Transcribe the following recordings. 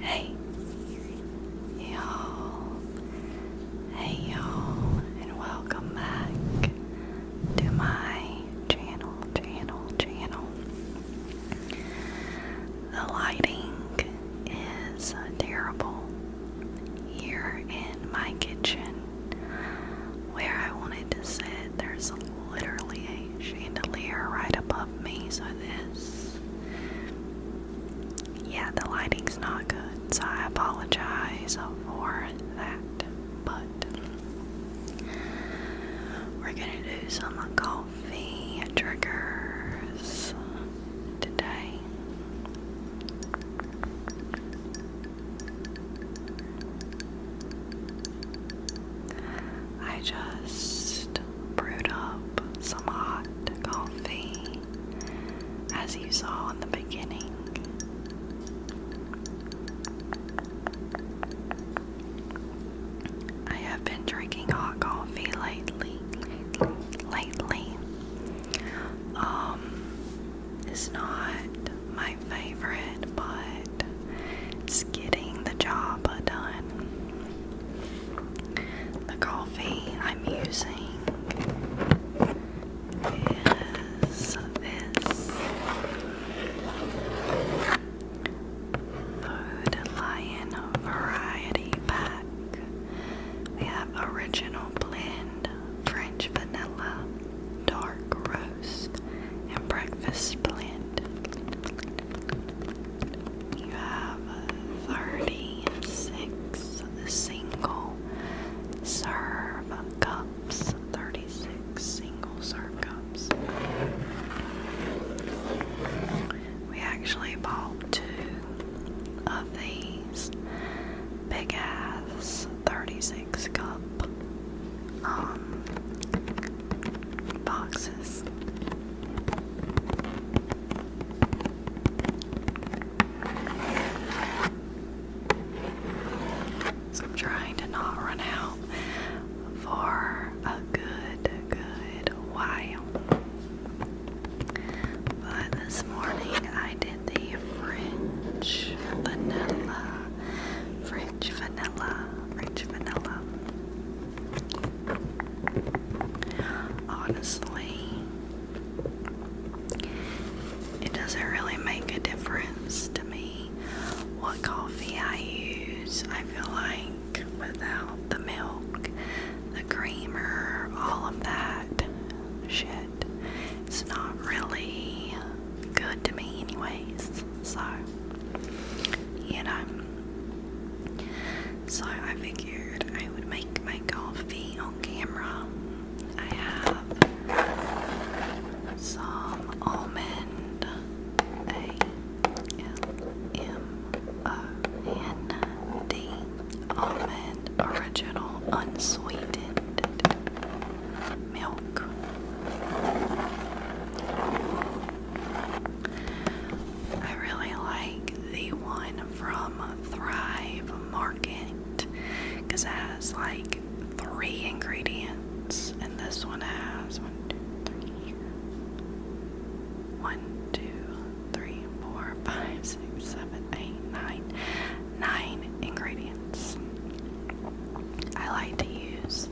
Hey, you Hey y'all, and welcome back to my channel, channel, channel. The lighting is terrible here in my kitchen where I wanted to sit. There's literally a chandelier right above me, so this yeah, the lighting's not good, so I apologize for that. But we're gonna do some coffee triggers today. I just brewed up some hot coffee as you saw in the beginning. I have been drinking hot coffee lately. Lately, um, it's not my favorite, but it's getting the job done. The coffee I'm using is this Food Lion Variety Pack. We have original blend, French vanilla, dark roast, and breakfast blend. You have 36 single Serve cups, 36 single serve cups. We actually bought two of these big ass 36 cup um, boxes. So I'm trying to not run out for a good, good while. But this morning I did the French vanilla. French vanilla. French vanilla. Honestly, it doesn't really make a difference to me what coffee I use. I feel like without the milk, the creamer, all of that shit, it's not really good to me, anyways. So, you know. So I figured I would make like my coffee on camera. I have some almond A M O N D almond original unsweetened milk. I really like the one one from Thrive Market because it has like three ingredients, and this one has one, two, three, four, five, six, seven, eight, nine, nine ingredients. I like to use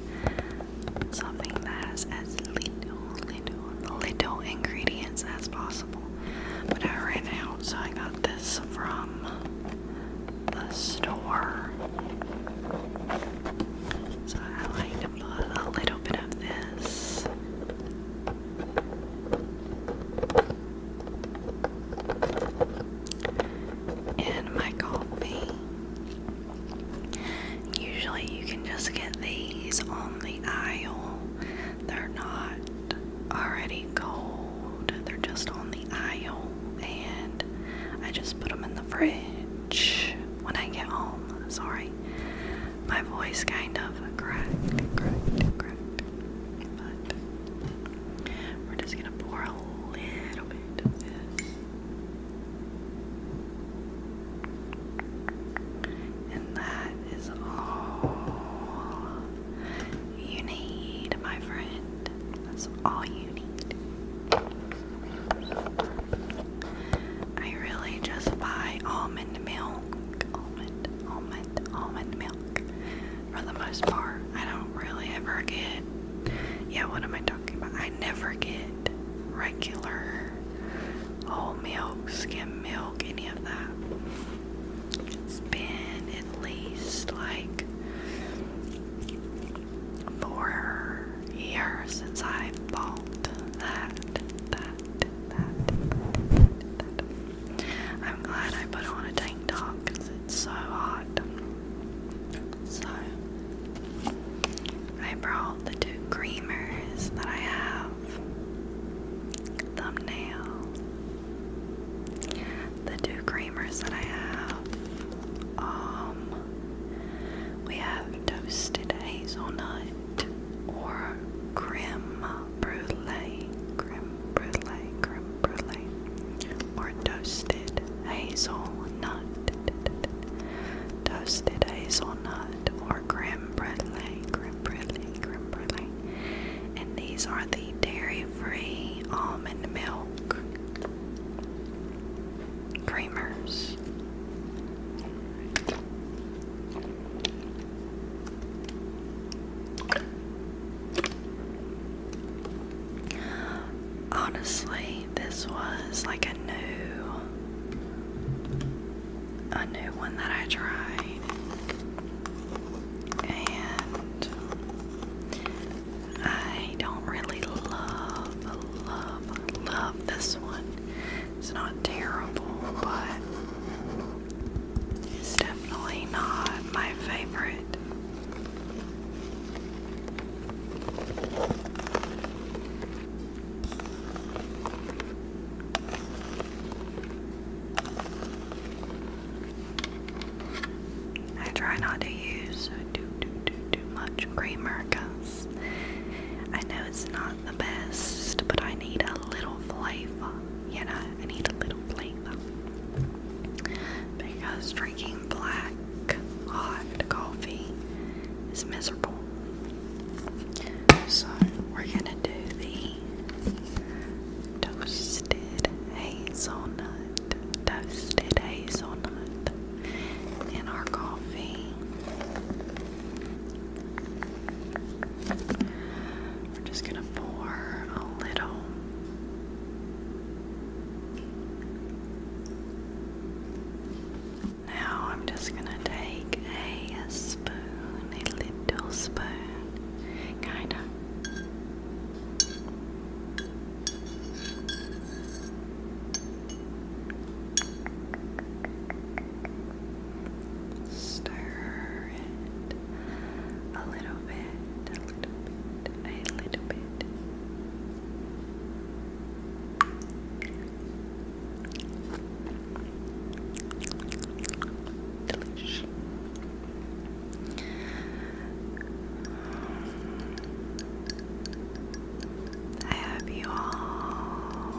something that has as little, little ingredients as possible. But I ran out, so I got this from the store. So I like to put a little bit of this. In my coffee. Usually, you can just get these on the aisle they're not already cold, they're just on the aisle, and I just put them in the fridge when I get home. Sorry, my voice kind of cracked, But we're just gonna pour a little bit of this. And that is all you need, my friend. That's all you need. I really just buy almond milk, almond, almond, almond milk for the most part. I don't really ever get, yeah, what am I talking about? I never get regular whole milk, skim milk, any of that. It's been at least like four years since I bought that, that, that, that, I'm glad I put on a tank top because it's so hot. So I brought the two creamers that I have have thumbnail. The two creamers that I have. Um we have toasted hazelnut or creme brulee. Creme brulee, creme brulee. Or toasted hazelnut. Toasted hazelnut or creme brulee. Creme Grimberly, Grimberly. And these are the dairy-free almond milk creamers. Honestly, this was like a new a new one that I tried, and I don't really love, love, love this one. It's not terrible, but it's definitely not my favorite. I try not to use too uh, too too too much creamer because I know it's not the best, but I need a little flavor. You know, I need a little flavor because drinking black hot coffee is miserable. So we're gonna do the toasted hazelnut, toasted hazelnut in our coffee. We're just gonna pour a little. Now I'm just going to take a, spoon, a little spoon, kind of. Stir it a little bit, a little bit, a little bit. I hope you all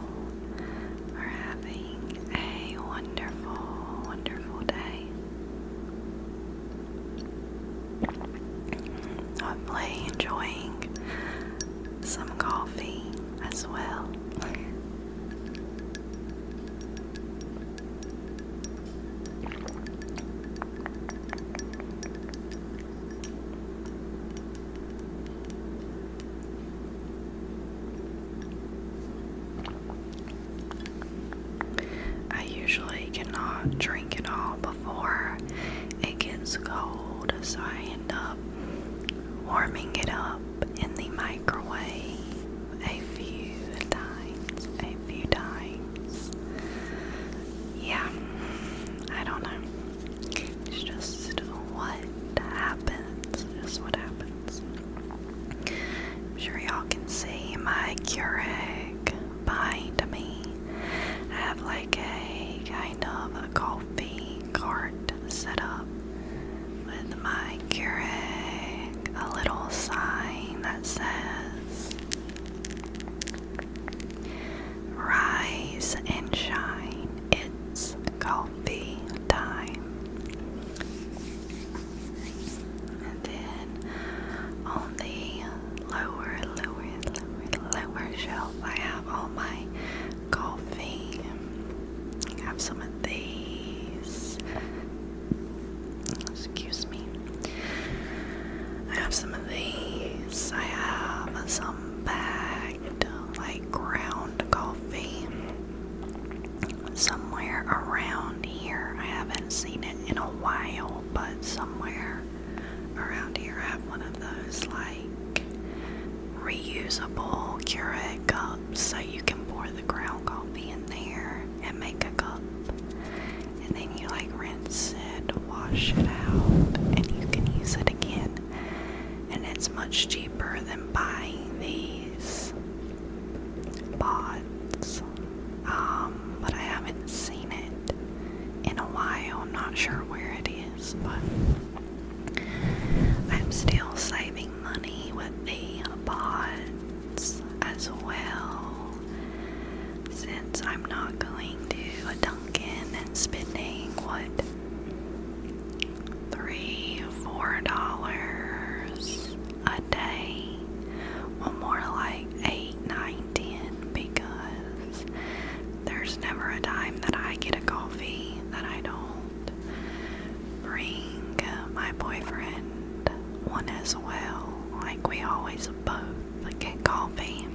are having a wonderful, wonderful day. Hopefully, enjoying some coffee as well. I usually cannot drink it all before it gets cold, so I end up warming it up in the microwave a few times. A few times. Yeah, I don't know. It's just what happens. Just what happens. I'm sure y'all can see my Keurig behind me. I have like a kind of a coffee cart set up with my Keurig, a little sign that says Rise and shine, it's coffee time. And then on the lower, lower, lower shelf, I have all my coffee. Have some of these. Excuse me. I have some of these. I have some bagged, like ground coffee. Somewhere around here. I haven't seen it in a while, but somewhere around here I have one of those like reusable Keurig cups, so you can pour the ground coffee in there and make a cup, and then you like rinse it, wash it out, and you can use it again. And it's much cheaper than buying these pots, um, but I haven't seen it in a while. I'm not sure where it but I'm still saving money with the pods as well, since I'm not going to a Dunkin' and spending what three, four dollars a day, well, more like eight, nine, ten, because. There's never a time that I get a coffee that I don't bring my boyfriend one as well. Like we always both get coffee.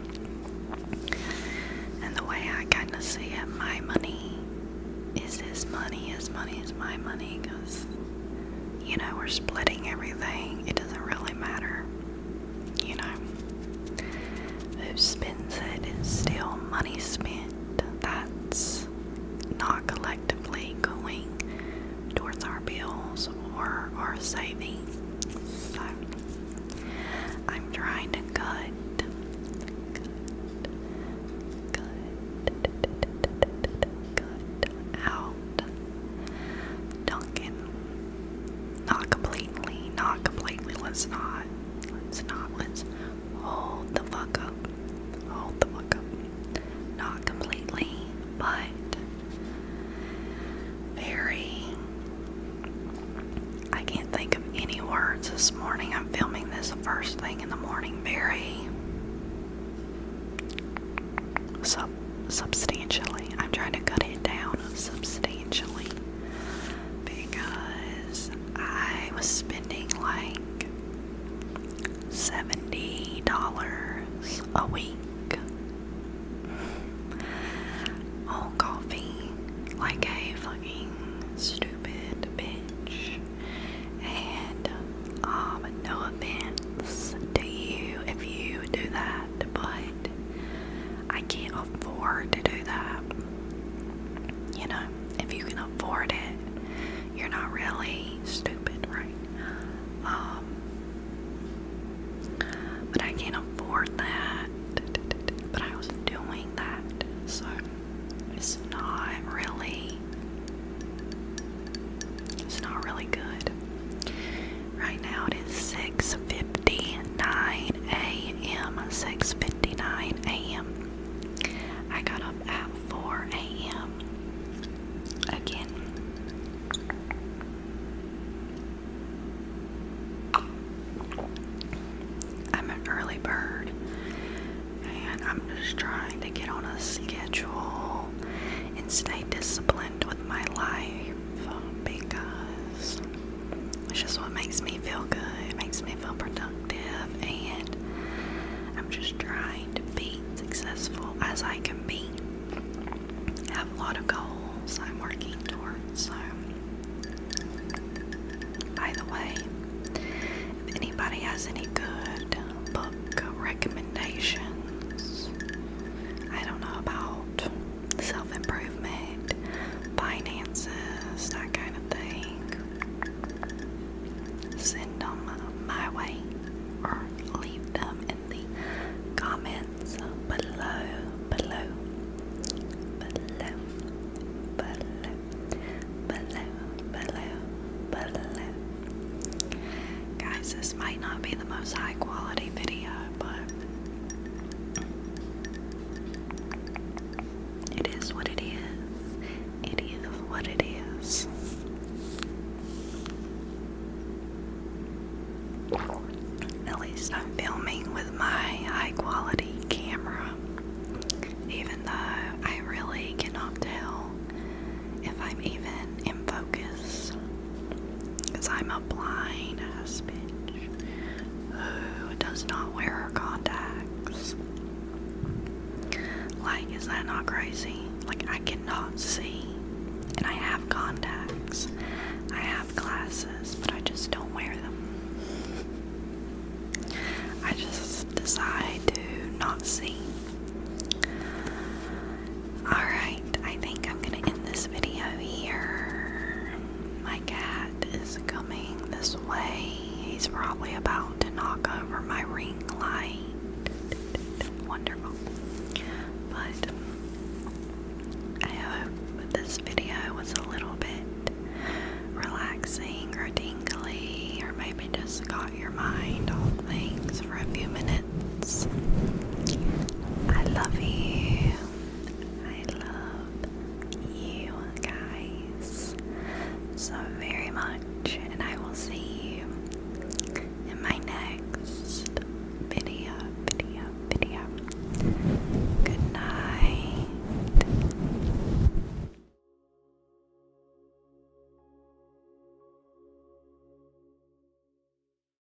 And the way I kind of see it, my money is his money, his money is my money, because, you know, we're splitting everything. It doesn't really matter you know, who spends it is still money spent that's not collectively going towards our bills or our savings. So I'm trying to cut, cut, cut, out Duncan not completely, not completely. Let's not. Let's not. Let's hold the fuck up. Hold the fuck up. Not completely, but very. I can't think of any words this morning. I'm filming this first thing in the morning. Very sub substantially. I'm trying to cut it down substantially because I was spending like $70 a week on coffee like a fucking stupid bitch. And um, no offense to you if you do that, but I can't afford to do that. You know, if you can afford it, you're not really stupid, right? Um, but I can't afford that, but I was doing that, so it's not really, it's not really good. Right now it is 6:59 a.m. 6:59 a.m. I got up at 4 a.m. again. I'm an early bird and I'm just trying to get on a schedule and stay disciplined with my life because it's just what makes me feel good. It makes me feel productive, and I'm just trying to be successful as I can be. I have a lot of goals I'm working towards. So, by the way, if anybody has any good book recommendations, I don't know about self improvement, finances, that kind of thing. Send them my way or leave them in the comments below, below, below, below, below, below, below. Guys, this might not be the most high quality video, but it is what it is. It is what it is. At least I'm filming with my high quality camera, even though I really cannot tell if I'm even in focus. Because I'm a blind ass bitch who does not wear her contacts. Like, is that not crazy? Like, I cannot see. And I have contacts. I have glasses, but I just don't wear them. I just decide to not see. Alright, I think I'm gonna end this video here. My cat is coming this way. He's probably about to knock over my ring light. Wonderful. But I hope this video was a little bit relaxing or tingly, or maybe just got your mind off things for a few minutes. I love you. I love you guys so very much, and I will see you in my next video. Video, video. Good night.